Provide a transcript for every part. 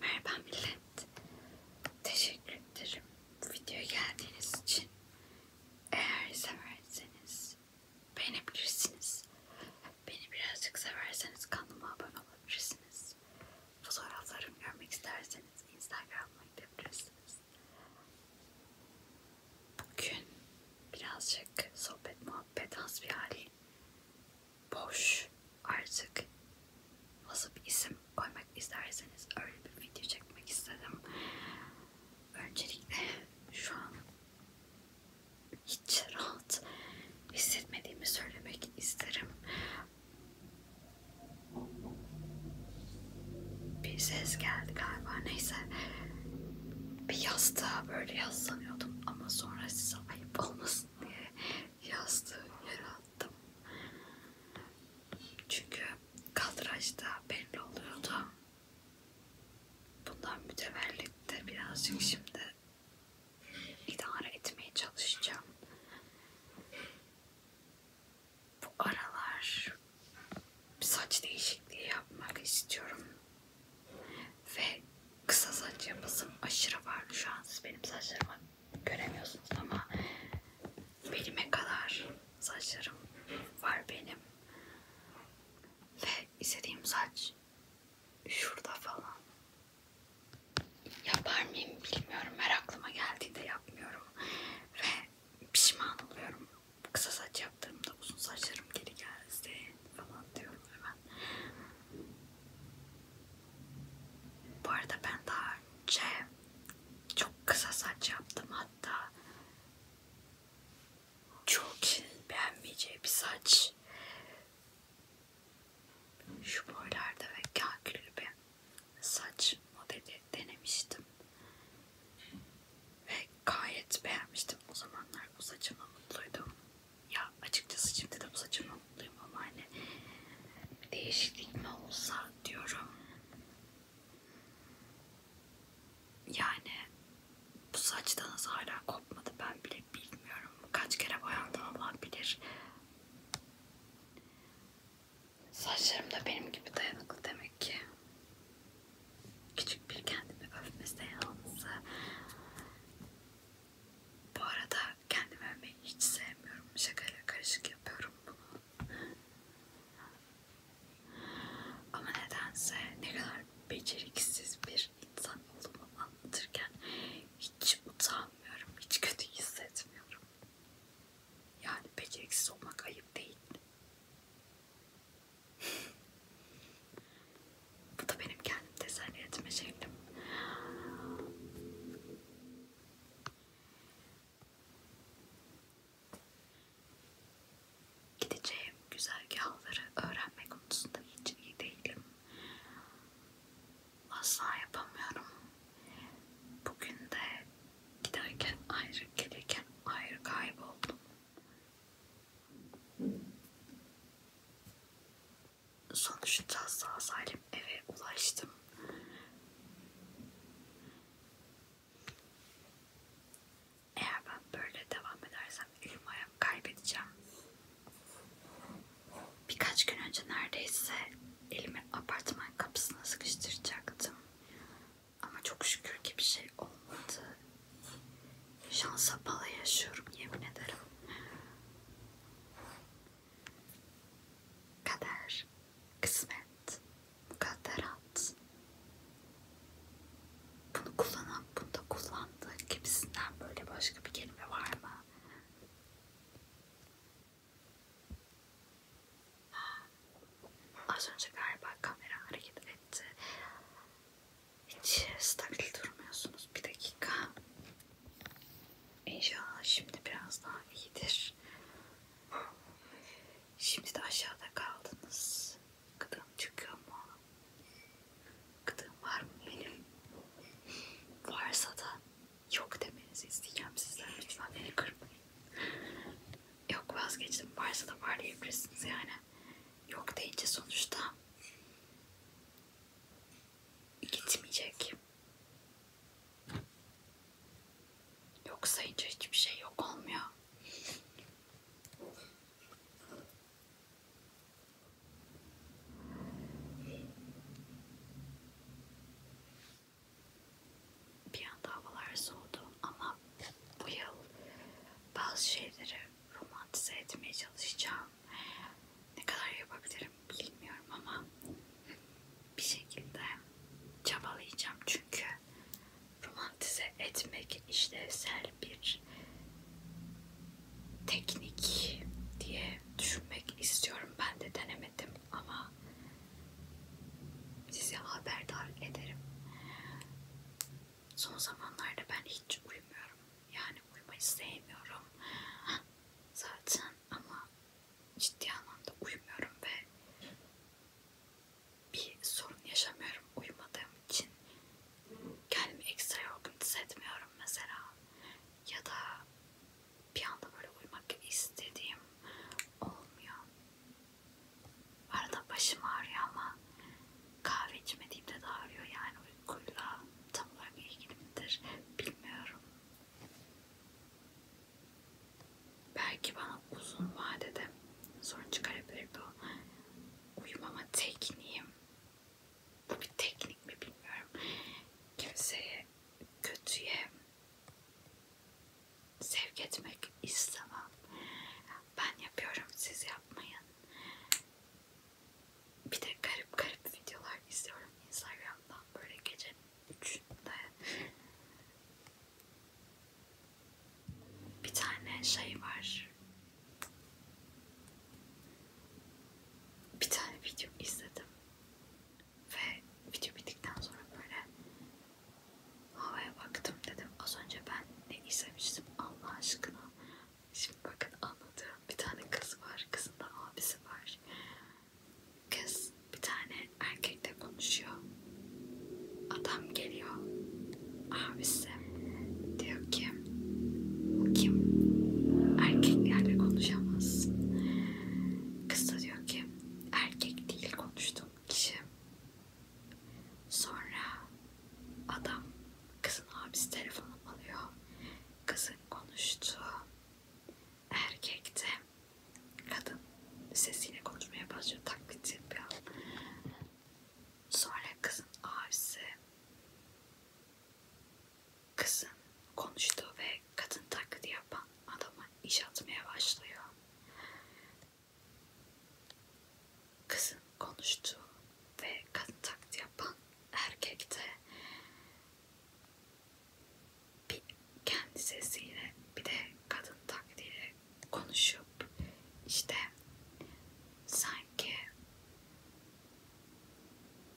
Merhaba millet. Teşekkür ederim bu videoya geldiğiniz için. Eğer severseniz beğenebilirsiniz. Beni birazcık severseniz kanalıma abone olabilirsiniz. Fotoğraflarımı görmek isterseniz Instagram'a gidebilirsiniz. Bugün birazcık sohbet muhabbet az bir haliyle boş artık nasıl bir isim koymak isterseniz öyle bir video çekmek istedim. Öncelikle şu an hiç rahat hissetmediğimi söylemek isterim. Bir ses geldi galiba neyse. Bir yastığa böyle yaslanıyordum ama sonra size olursa ayıp olmasın diye yastığı yere attım. Çünkü kaldıraçta belli oluyordu. Bundan mütevellitte birazcık şimdi idare etmeye çalışacağım. Bu aralar saç değişikliği yapmak istiyorum. Ve kısa saç yapısım aşırı vardı. Şu an siz benim saçlarımı göremiyorsunuz ama belime kadar saçlarım var benim. Ve istediğim saç şurada falan. Yapar mıyım bilmiyorum. Her aklıma geldiğinde yapmıyorum. Ve pişman oluyorum. Kısa saç yaptığımda uzun saçlarım geri geldi falan diyorum hemen. Bu arada ben daha önce çok kısa saç yaptım hatta çok şey beğenmeyeceği bir saç şu boylarda ve kakülü bir saç modeli denemiştim ve gayet beğenmiştim o zamanlar bu saçımla mutluydum ya açıkçası şimdi de bu saçımla mutluyum ama hani değişiklik mi olsa diyorum. Yani bu saçtanız hala kopmadı ben bile bilmiyorum. Kaç kere boyandı Allah bilir. Saçlarım da benim gibi dayanıklı demek ki küçük bir kendimi övme seansı. Bu arada kendimi övmeyi hiç sevmiyorum. Şakayla karışık yapıyorum bunu. Ama nedense ne kadar beceriksiz bir insan olduğumu anlatırken hiç utanmıyorum, hiç kötü hissetmiyorum. Yani beceriksiz olmak ayıp değil. Bu da benim kendim dizayn etme şeklim. Gideceğim güzergahları öğrenme konusunda hiç iyi değilim. Asla yapamıyorum. Bugün de giderken ayrı gelirken ayrı kayboldum. Sonuçta sağ salim eve ulaştım. Eğer ben böyle devam edersem elimi ayağımı kaybedeceğim. Birkaç gün önce neredeyse elimi apartman kapısına sıkıştıracaktım. Ama çok şükür ki bir şey olmadı. Şansa bala yaşıyorum yemin ederim. Kader, kısmet, mukadderat. Bunu kullanan, bunu da kullandı gibisinden böyle başka bir kelime var mı? Az önce galiba kamera hareket etti. Hiç stabil durmuyorsunuz. Bir dakika. İnşallah şimdi biraz daha iyidir. Şimdi de aşağıda kaldınız. Gıdım çıkıyor mu? Gıdım var mı benim? Varsa da yok demenizi isteyeceğim sizden. Lütfen beni kırmayın. Yok vazgeçtim. Varsa da var diyebilirsiniz yani. Yok deyince sonuçta gitmeyecek. Yok sayınca hiçbir şey yok olmuyor. Bir anda havalar soğudu ama bu yıl bazı şeyleri romantize etmeye çalışacağım. Ne kadar yapabilirim bilmiyorum ama bir şekilde çabalayacağım çünkü romantize etmek işlevsel bir teknik diye düşünmek istiyorum. Ben de denemedim ama sizi haberdar ederim. Son zamanlarda ben hiç uyumuyorum. Yani uyumayı sevmiyorum zaten ama ciddi anlamda uyumuyorum ve bir sorun yaşamıyorum uyumadığım için. Kendimi ekstra yorgun hissetmiyorum mesela. Ya da bir anda böyle uyumak istediğim olmuyor. Arada başım ağrıyor ama kahve içmediğimde de ağrıyor yani uykuyla tam olarak ilgili midir bilmiyorum. Belki bana uzun vadede sorun çıkarabilir bu uyumama tekniğim. Bu bir teknik mi bilmiyorum. Kimseye kötüye sevk etmek istemem. Ben yapıyorum siz yapmayın bir de garip garip videolar izliyorum Instagram'dan böyle gece 3'ünde bir tane şey var bir tane video izledim ve video bittikten sonra böyle havaya baktım dedim az önce ben ne izlemiştim Allah aşkına Şimdi bakın anlatıyorum. Bir tane kız var. Kızın da abisi var. Kız bir tane erkekle konuşuyor. Adam geliyor. Abisi diyor ki kim erkeklerle konuşamaz. Kız da diyor ki erkek değil konuştuğum kişi. Sonra adam kızın abisi telefonu alıyor. Kızın konuştuğu erkek de kadın sesiyle konuşmaya başlıyor. Taklit yapıyor. Sonra kızın abisi kızın konuştuğu ve kadın taklidi yapan adama iş atmaya başlıyor kızın konuştuğu ve kadın taklidi yapan erkekte bir kendi sesiyle bir de kadın taklidiyle konuşup işte sanki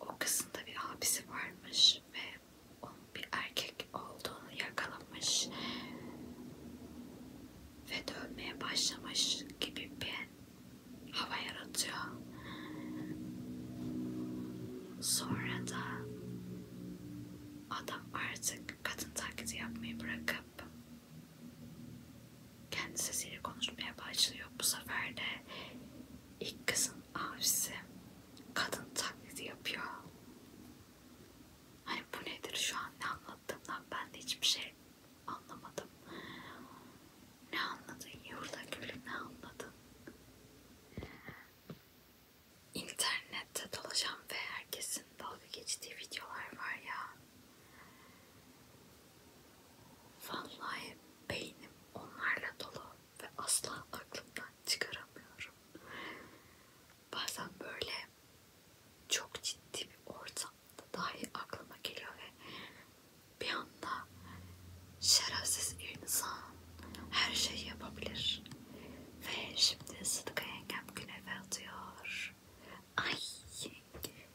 o kızın da bir abisi varmış ve onun bir erkek olduğunu yakalamış ve dövmeye başlamış gibi bir hava yaratıyor. Sonra da adam artık kadın taklidi yapmayı bırakıp kendi sesiyle konuşmaya başlıyor. Bu sefer de ilk kızın abisi kadın taklidi yapıyor. Hani bu nedir şu an ne anlattığımdan ben de hiçbir şey Anlamadım. Ne anladın yavruda gülüm ne anladın? İnternette dolaşan ve herkesin dalga geçtiği videolar var ya. Vallahi beynim onlarla dolu ve asla aklımdan çıkaramıyorum. Bazen böyle çok ciddi bir ortamda anda dahi aklıma geliyor ve bir anda şerefsiz insan her şeyi yapabilir. Ve şimdi Sıdıka yengem güneve atıyor. Ay yenge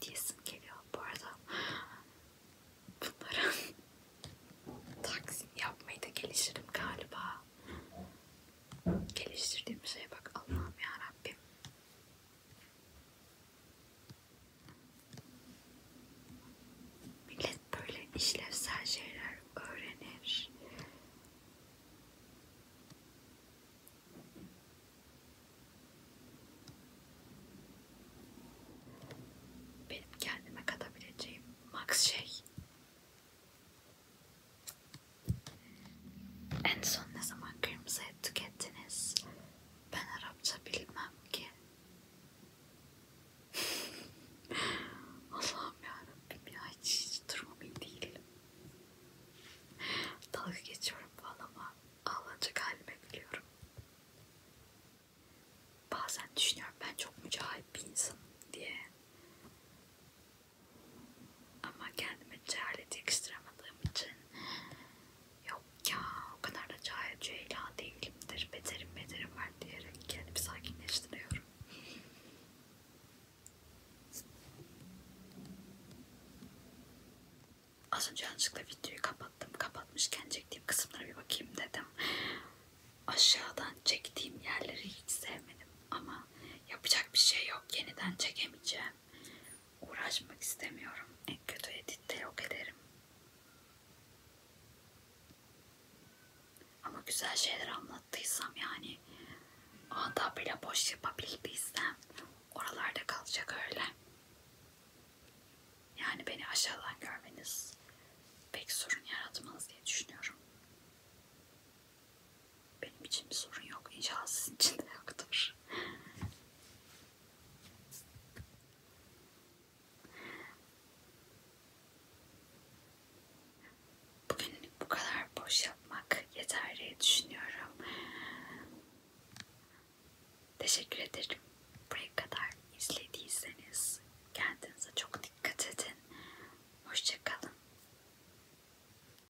diyesim geliyor bu arada. Bunların taksim yapmayı da geliştirdim galiba. Geliştirdiğim şeye bak Allah'ım yarabbim. Millet böyle işlevsel şeyler öğrenir. Benim kendime katabileceğim max şey en son ne zaman kırmızı et tükettiniz? Ben Arapça bilmem ki. Allah'ım yarabbim ya hiç, hiç durumum iyi değil. Dalga geçiyorum falan ama ağlanacak halime biliyorum. Bazen düşünüyorum ben çok mücahit bir insanım diye. Ama kendime cehalet yakıştıramadığım için yok ya o kadar da cahil cüheyla değilimdir, beterim beterim var diyerek kendimi sakinleştiriyorum. Az önce yanlışlıkla videoyu kapattım. Kapatmışken çektiğim kısımlara bir bakayım dedim. Aşağıdan çektiğim yerleri hiç sevmedim ama yapacak bir şey yok. Yeniden çekemeyeceğim yüzden uğraşmak istemiyorum. En kötü editte yok ederim. Ama güzel şeyler anlattıysam yani anda bile boş yapabildiysem oralarda kalacak öyle. Yani beni aşağıdan görmeniz pek sorun yaratmaz diye düşünüyorum. Benim için bir sorun yok. İnşallah sizin için de yoktur. Bugün bu kadar boş yapmak yeter diye düşünüyorum. Teşekkür ederim. Buraya kadar izlediyseniz kendinize çok dikkat edin. Hoşçakalın.